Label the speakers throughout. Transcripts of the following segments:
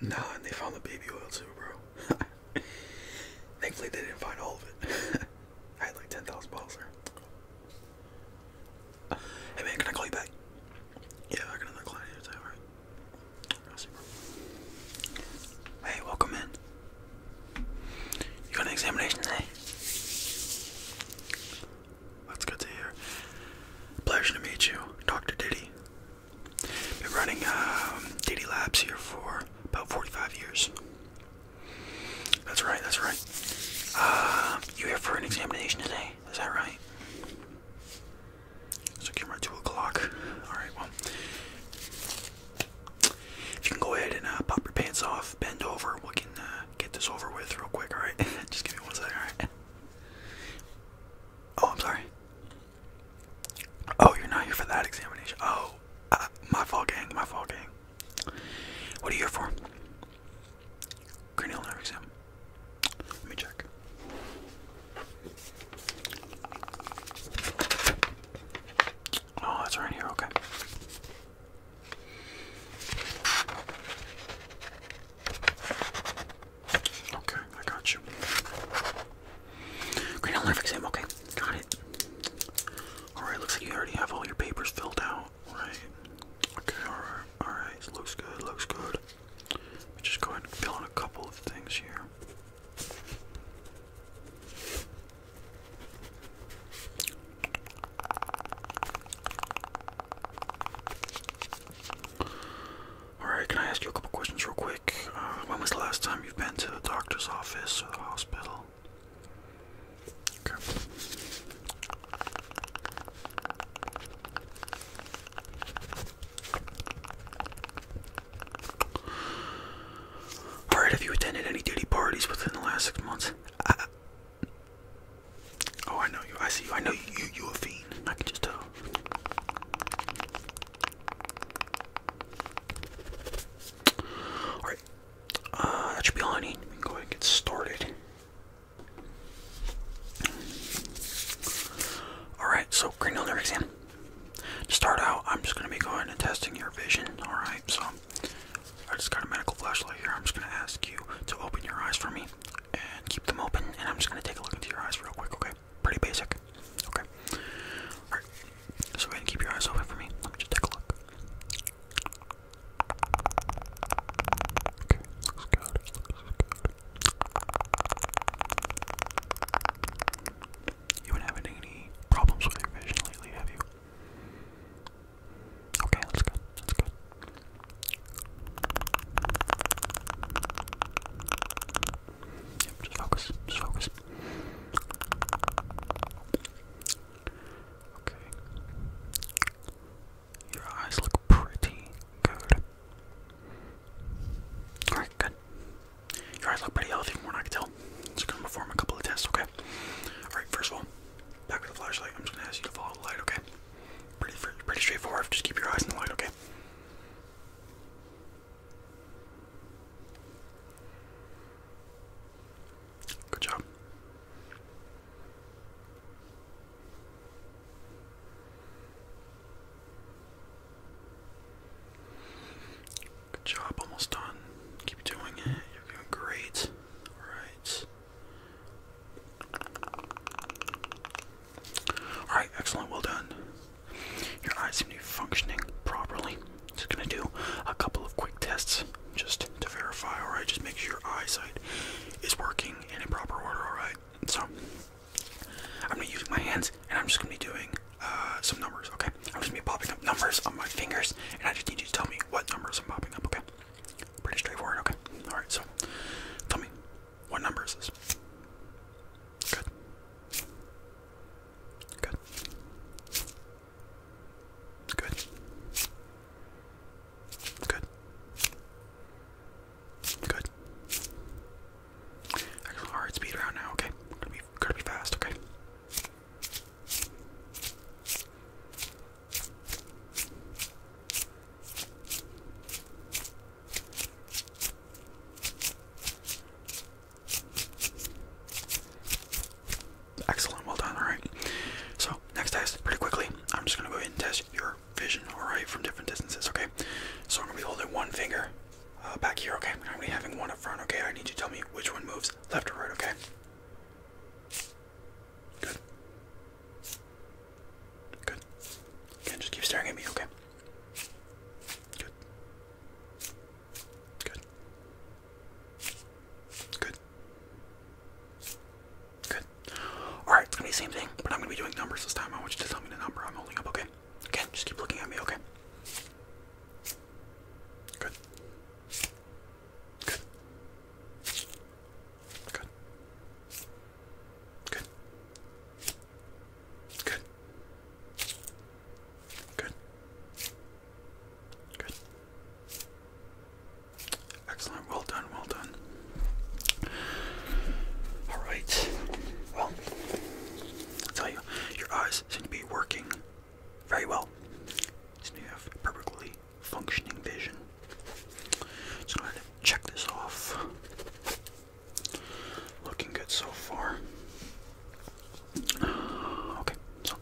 Speaker 1: Nah, and they found the baby oil too, bro. Thankfully, they didn't find all of it. I had like 10,000 balls, there. Hey man, can I call you back? Yeah, I got another client here today, alright? I'll Hey, welcome in. You got an examination today? That's good to hear. Pleasure to meet you, Dr. Diddy. Been running um, Labs here for about 45 years. That's right, that's right. Uh, you here for an examination today? Is that right? So came right two o'clock. All right, well, if you can go ahead and uh, pop your pants off, bend over, we can uh, get this over with real quick. All right, just give me one second. All right. Oh, I'm sorry. Oh, you're not here for that examination. Oh, uh, my fault, gang. My fault, gang. What are you here for? Cranial nerve exam. Let me check. Oh, that's right here. Okay. Okay, I got you. Great outline for exam, okay, got it. Alright, looks like you already have all your papers filled out, right? Okay, alright, alright, looks good, looks good. We me just go ahead and fill in a couple of things here. Alright, can I ask you a couple questions real quick? Uh, when was the last time you've been to the doctor's office or the hospital? Okay. Alright, have you attended any daily parties within the last six months? Oh, I know you. I see you. I know you. You, you a fiend. I can just tell. All right. Uh, that should be all I need. We can go ahead and get started. Alright, so cranial nerve exam. To start out, I'm just going to be going and testing your vision. Alright, so I just got a medical flashlight here. I'm just going to ask you to open your eyes for me and keep them open. And I'm just gonna take a look into your eyes real quick, okay? Pretty basic. Okay. Alright. So go ahead and keep your eyes open for me. Let me just take a look. Okay, looks good. Looks good. You been having any problems with your vision lately, have you? Okay, that's good. That's good. Yep, just focus. Just focus. Okay. Your eyes look pretty good. Alright, good. Your eyes look pretty healthy from what I can tell. Just gonna perform a couple of tests, okay? Alright, first of all, Back with the flashlight. I'm just gonna ask you to follow the light, okay? Pretty, pretty straightforward. Just keep your eyes on the light, okay? Good job. Good job, almost done. Keep doing it. You're doing great. All right. Alright, excellent, well done. Your eyes seem to be functioning properly. Just gonna do a couple of quick tests just to verify, alright? Just make sure your eyesight is working in a proper order, alright? So, I'm gonna be using my hands and I'm just gonna be doing uh, some numbers, okay? I'm just gonna be popping up numbers on my fingers and I just need you to tell me what numbers I'm popping up, okay? Pretty straightforward, okay. Alright, so tell me, what number is this? Good. Good. Good. Good. Good. Excellent. Alright, speed around now, okay? Gotta be gotta be fast, okay? Excellent, well done, alright. So, next test, pretty quickly, I'm just gonna go ahead and test your vision, alright, from different distances, okay? So, I'm gonna be holding one finger uh, back here, okay? I'm gonna be having one up front, okay? I need you to tell me which one moves left or right, okay? Good. Good. Okay, just keep staring at me, okay? Good. Good. Good. Good. Alright, it's gonna be the same thing, but I'm gonna be doing numbers this time. I want you to tell me the number I'm holding up, okay? Again, just keep looking at me, okay? Good. Good. Good. Good. Good. Good. Good. Excellent. Well done. Well done. All right. Well, I'll tell you, your eyes seem to be working very well. So you have perfectly functioning vision. So I'm gonna check this off. Looking good so far. Okay, so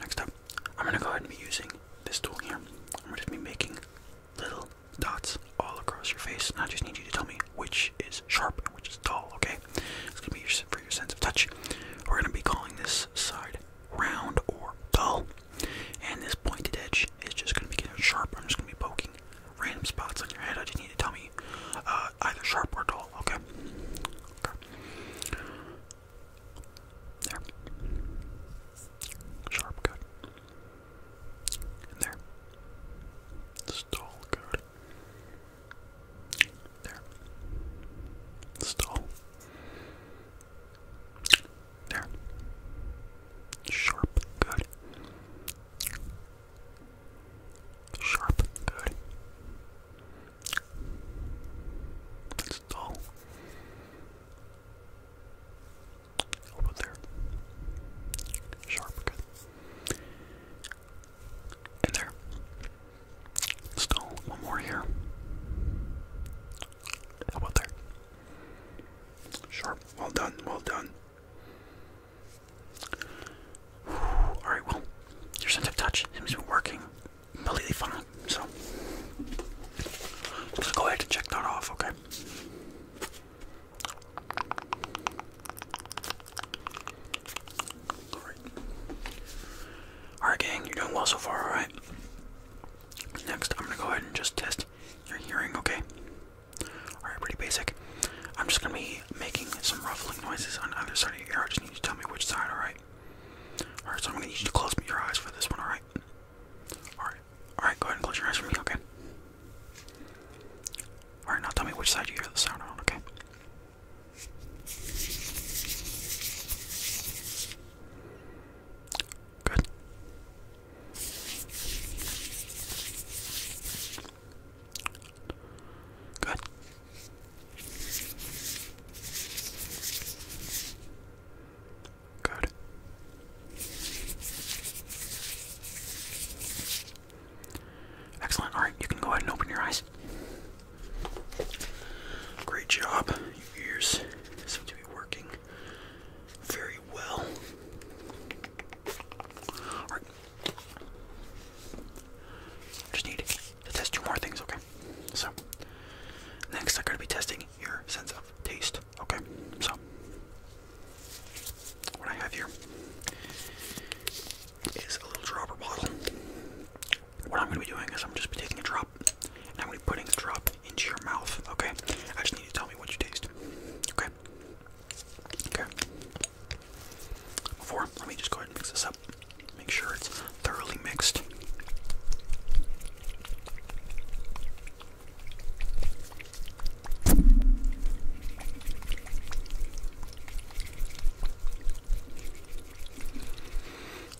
Speaker 1: next up, I'm gonna go ahead and be using this tool here. I'm gonna be making little dots all across your face, and I just need you to tell me which is sharp and which is dull, okay? It's gonna be your, for your sense of touch. We're gonna be calling this side round or dull, and this pointed edge is just gonna be getting sharp. I'm just gonna be poking random spots on your head. I just need to tell me uh, either sharp or dull. Okay. okay. There. Sharp, good. there stall card. There. Stall. There. Sharp. Good. Sharp. Good. Stall. Over there. Sharp. Good in there. Still one more here. How about there? Sharp. Well done. Well done. All right. Well, your sense of touch seems to be working completely fine. So let's go ahead and check that off. Okay. Alright. gang, you're doing well so far, alright? Next, I'm gonna go ahead and just test your hearing, okay? Alright, pretty basic. I'm just gonna be making some ruffling noises on either side of your ear. I just need you to tell me which side, alright? Alright, so I'm gonna need you to close your eyes for this one, alright? Alright, alright, go ahead and close your eyes for me, okay? Alright, now tell me which side you hear the sound on, okay? Good. Good. Good. Excellent. All right, you can go ahead and open your eyes. Great job. Your ears seem to be working very well. Just need to test two more things, okay? So, next I'm going to be testing your sense of taste, okay? So, what I have here is a little dropper bottle. What I'm going to be doing is I'm just be taking a drop and I'm going to be putting a drop into your mouth, okay? I just need you to tell me what you taste, okay? Okay. Before, let me just go ahead and mix this up. Make sure it's thoroughly mixed. All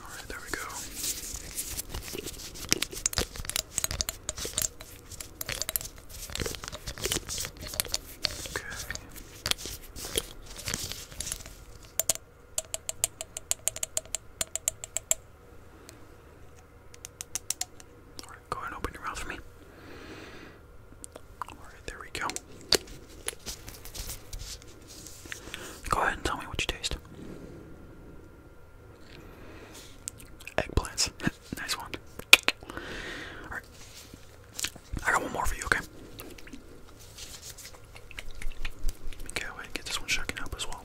Speaker 1: right, there we go. Okay. All Go ahead and open your mouth for me. Alright, there we go. Go ahead and tell me what you taste. Eggplants. nice one. Alright. I got one more for you, okay? Okay, wait, get this one shaken up as well.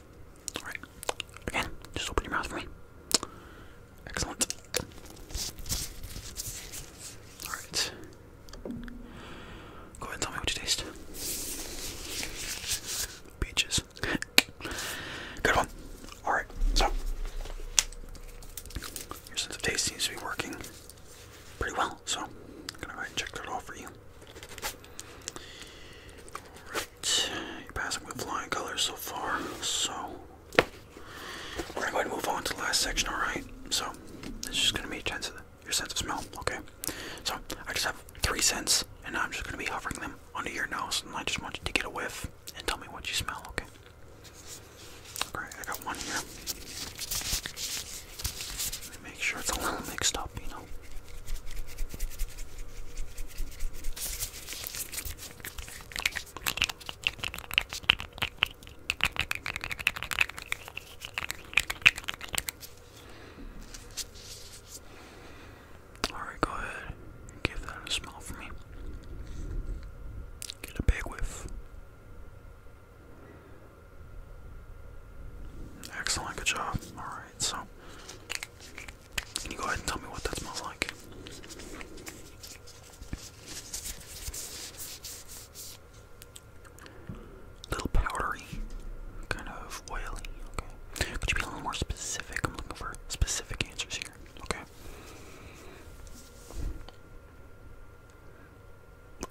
Speaker 1: Alright, again, just open your mouth for me. Excellent. Alright. Go ahead and tell me what you taste. Peaches. Good one. Alright, so. Your sense of taste seems to be working pretty well, so I'm gonna go ahead and check that off for you. Alright you're passing with flying colors so far. So we're going to move on to the last section. All right. So it's just gonna be your sense of smell. Okay. So I just have three scents, and I'm just gonna be hovering them under your nose, and I just want you to get a whiff and tell me what you smell. Okay. All right. I got one here. make sure it's a little mixed up, you know. Alright, go ahead give that a smell for me. Get a big whiff. Excellent, good job. Alright so can you go ahead and tell me what that smells like? little powdery, kind of oily, okay. Could you be a little more specific? I'm looking for specific answers here, okay.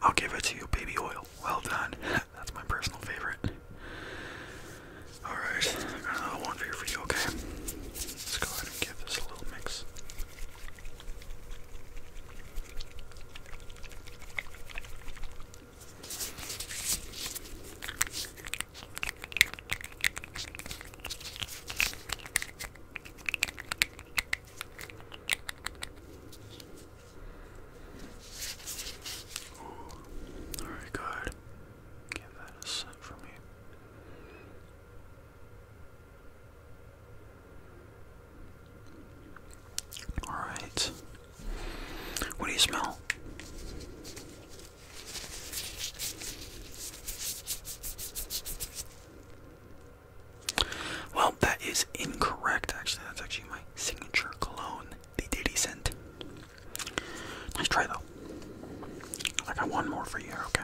Speaker 1: I'll give it to you, baby oil. Well done. That's my personal favorite. Alright, I got another one for your okay? Let's go ahead and give this a little mix very good. Give that a set for me. Alright. What do you smell? Well, Oh, that is incorrect, actually. That's actually my signature cologne, the Diddy scent. Nice try, though. I got one more for you okay?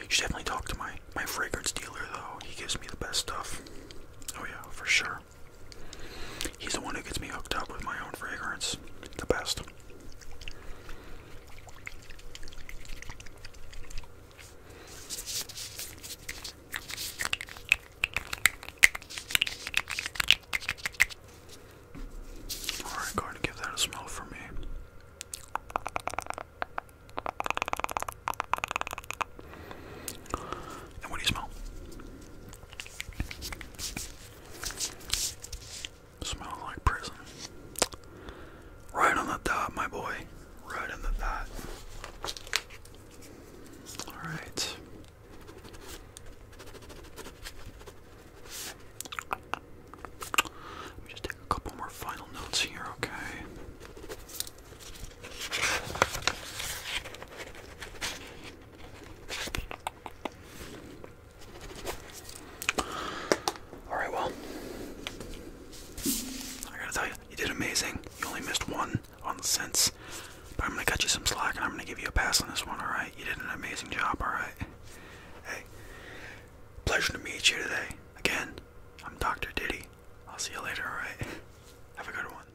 Speaker 1: You should definitely talk to my my fragrance dealer though. He gives me the best stuff. Oh yeah, for sure. He's the one who gets me hooked up with my own fragrance. The best. Alright, go and give that a smell for me. And what do you smell? Smells like prison. Right on the top, my boy. Right on the dot. Alright. Let me just take a couple more final notes here, okay? Alright, well, I gotta tell you, you did amazing. You only missed one on the sense. But I'm gonna cut you some slack and I'm gonna give you a pass on this one, alright? You did an amazing job, alright? Hey, pleasure to meet you today. Again, I'm Dr. Diddy. I'll see you later, alright? Have a good one.